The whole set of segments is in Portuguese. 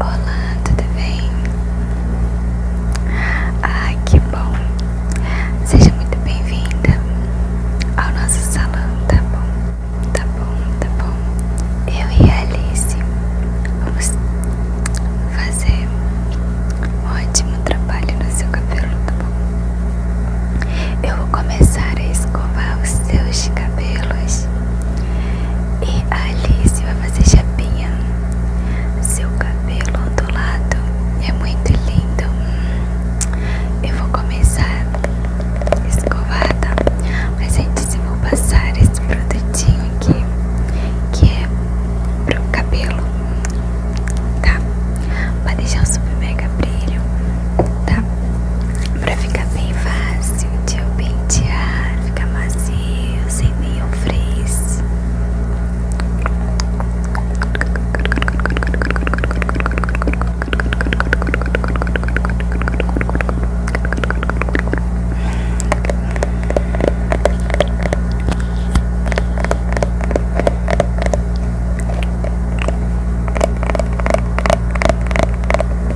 Olá, tudo bem? Ah, que bom! Seja muito bem-vinda ao nosso salão, tá bom? Tá bom, tá bom. Eu e a Alice vamos fazer um ótimo trabalho no seu cabelo, tá bom? Eu vou começar a escovar os seus cabelos. E a Alice vai fazer chapinha. Seu cabelo ondulado é muito lindo. Eu vou começar escovada, mas antes eu vou passar esse produtinho aqui, que é para o cabelo, tá? Pra deixar o super mega brilho tá? Pra ficar bem fácil de eu pentear, ficar macio, sem nenhum frizz.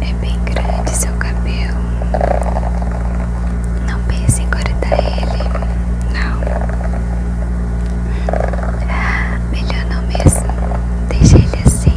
É bem grande seu cabelo. Não pense em cortar ele. Não. Ah, melhor não mesmo. Deixa ele assim.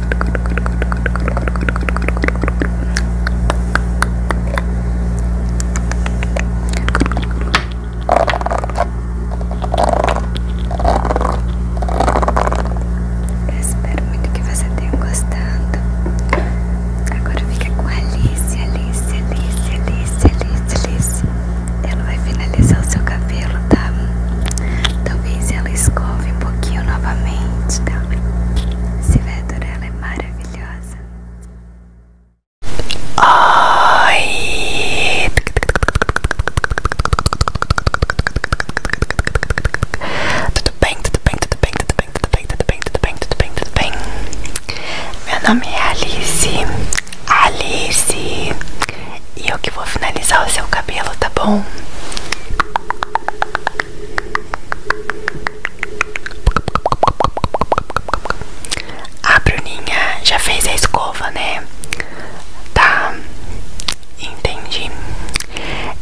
espero muito que você tenha gostado. Agora fica com a Alice, Alice, Alice, Alice, Alice, Alice. Ela vai finalizar o seu cabelo, tá? Talvez ela escove um pouquinho novamente, tá? Se Silvedor, ela é maravilhosa. Oi! tudo bem, tudo bem, tudo bem, tudo bem, tudo bem, tudo bem, tudo bem, tudo bem. Meu nome é Alice. Alice. E eu que vou finalizar o seu cabelo, tá bom? A Bruninha já fez a escova, né? Tá, entendi.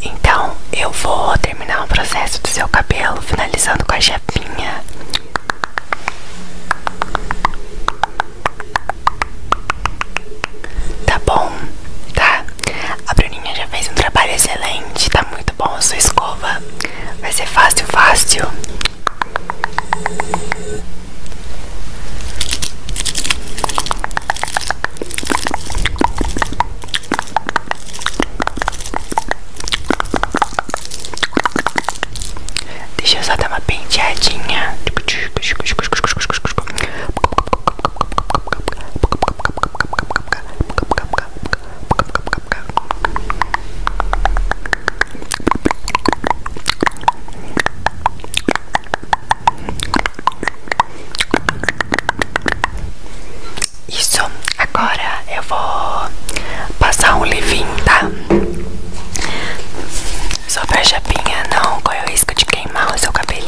Então eu vou terminar o processo do seu cabelo, finalizando com a chapinha. Tá bom, tá? A Bruninha já fez um trabalho excelente, tá muito bom a sua escova. Vai ser fácil, fácil. Deixa eu só dar uma penteadinha. Isso, agora eu vou passar um levinho, tá? Sobre a chapinha, não corre é o risco de queimar o seu cabelinho.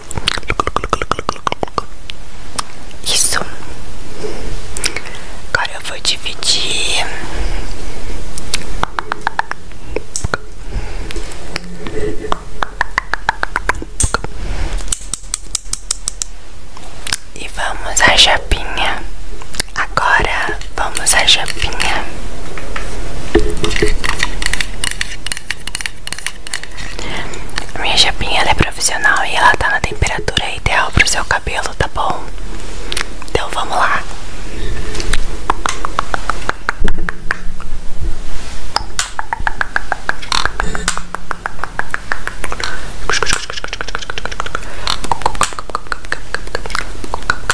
Isso. Agora eu vou dividir. E vamos à chapinha. Agora vamos à chapinha. Minha chapinha é profissional e ela tá na temperatura ideal pro seu cabelo, tá bom? Então vamos lá.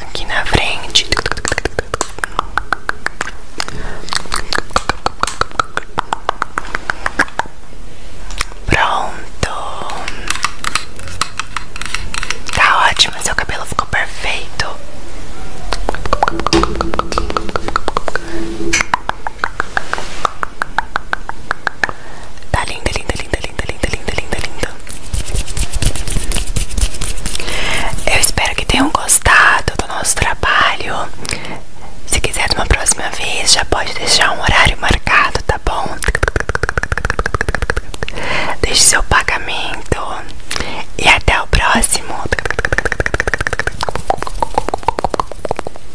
aqui na frente. Pronto. Tá ótimo, seu cabelo ficou perfeito. Tá linda linda linda, linda, linda, linda, linda, linda. Eu espero que tenham gostado do nosso trabalho. Se quiser uma próxima vez, já pode deixar um horário marcado, tá bom? Deixe seu pagamento e até o próximo.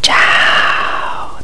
Tchau.